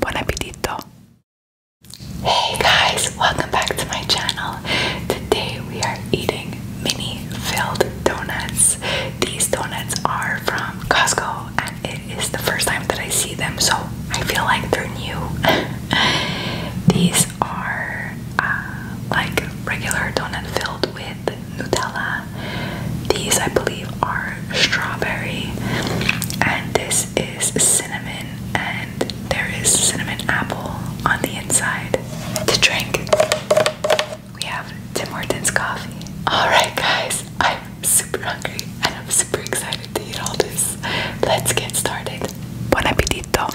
Buon appetito! Hey guys, welcome back to my channel. Today we are eating mini filled donuts. These donuts are from Costco and it is the first time that I see them, so I feel like they're new. These are uh, like regular donut filled with Nutella. These, I believe, are strawberry, and this is cinnamon, and there is cinnamon apple on the inside. To drink, we have Tim Hortons coffee. Alright, guys, I'm super hungry and I'm super excited to eat all this. Let's get started. Bon appetito!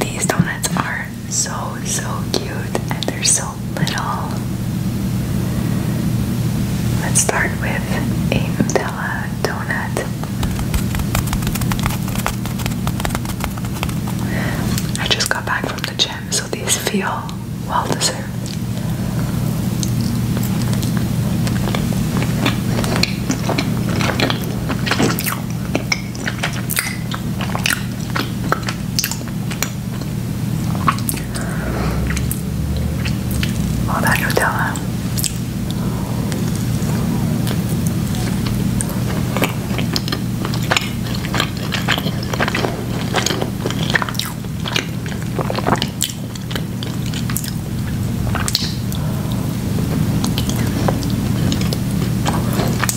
These donuts are so so cute and they're so little. Let's start with a Nutella donut. I just got back from the gym, so these feel well deserved. All that Nutella.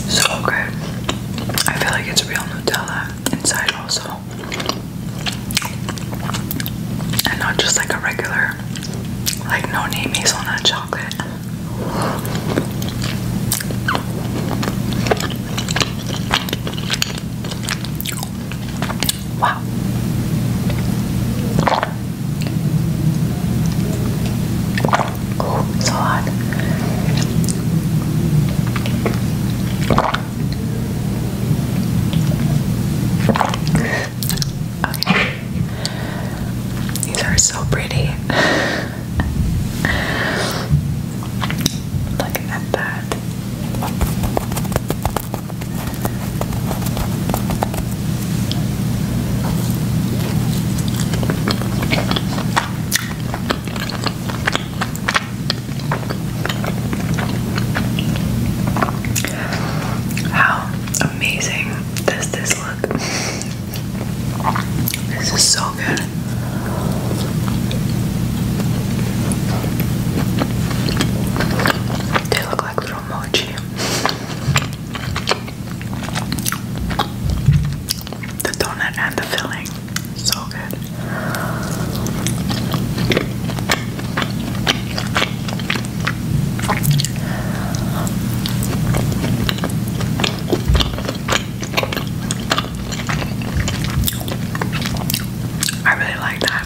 So good. I feel like it's real Nutella inside also and not just like a regular, like no name hazelnut chocolate. Wow. Oh, so hot. These are so pretty. Looking at that. How amazing does this look? This is so good. They look like little mochi. The donut and the filling. So good. I really like that.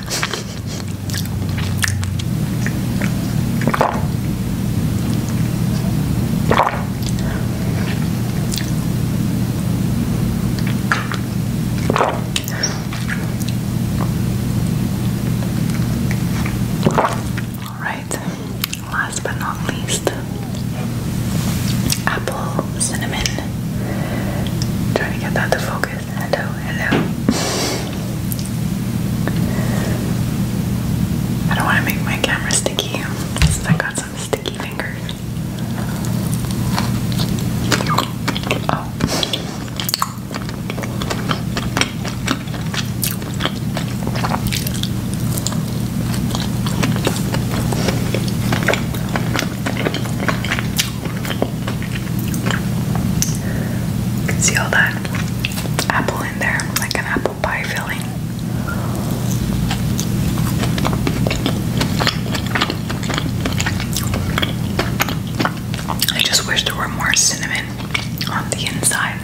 Alright, last but not least, apple cinnamon. Trying to get that to focus. Hello, hello. I don't want to make my camera sticky since I got some sticky fingers see all that apple in there, like an apple pie filling. I just wish there were more cinnamon on the inside.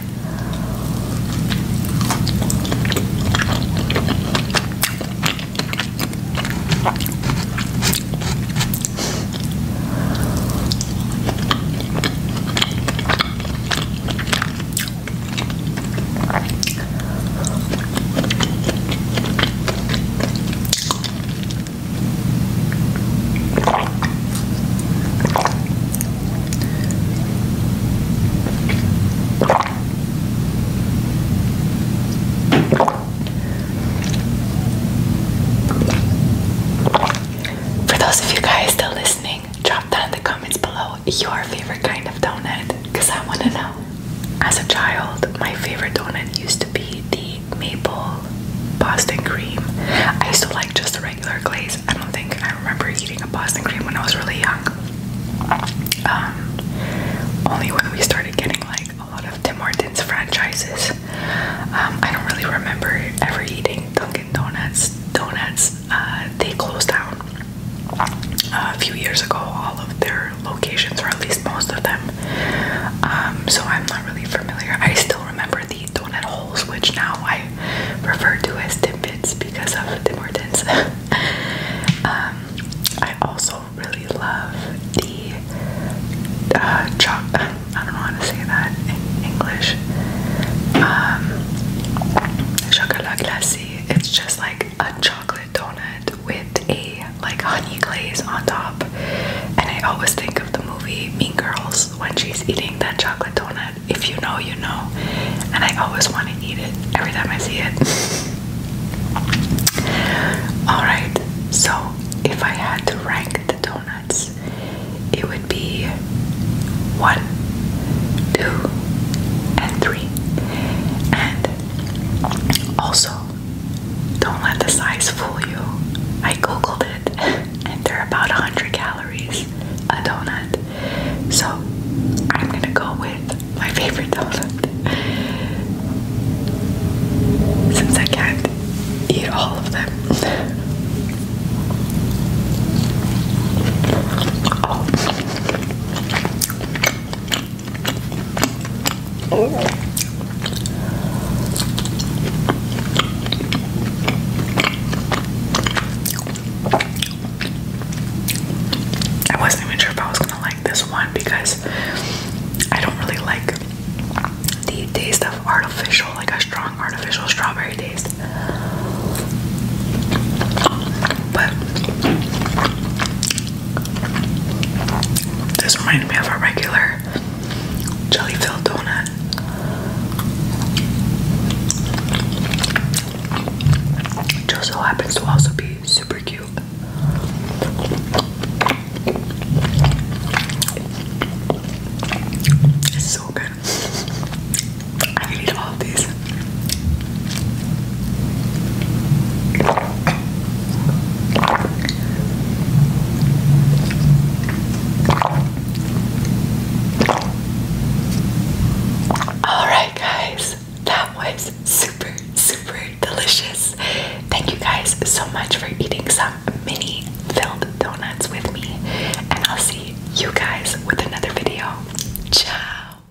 For those of you guys still listening, drop down in the comments below your favorite kind of donut because I want to know. As a child, my favorite donut used to be the maple Boston cream. I used to like just the regular glaze. I don't think I remember eating a Boston cream when I was really young. Um, only when we started getting like a lot of Tim Hortons franchises. Um, I don't really remember ever eating Dunkin' Donuts. Donuts, uh, they closed down a few years ago, all of their locations, or at least most of them. Um, so I'm not really familiar. I still remember the donut holes, which now I refer to as Timbits because of Tim Hortons. um, I also really love the uh, chocolate. I don't want to say that in English. Um, chocolat glacé. It's just like a chocolate donut with a like honey glaze on top. And I always think of the movie Mean Girls when she's eating that chocolate donut. If you know, you know. And I always want to eat it every time I see it. Alright, so if I had to rank the donuts, it would be one, two, and three. And also, don't let the size fool you. I googled it and they're about 100 calories a donut. So, I'm gonna go with my favorite donut since I can't eat all of them. Oh. I wasn't even sure if I was gonna like this one because I don't really like the taste of artificial, like a strong artificial strawberry taste. But this reminds me of a regular jelly filled donut. Just so happens to also be super cute. It's so good. I can all these. Alright, guys, that was super, super delicious. Thank you guys so much for eating some mini filled donuts with me, and I'll see you guys with another video. Ciao!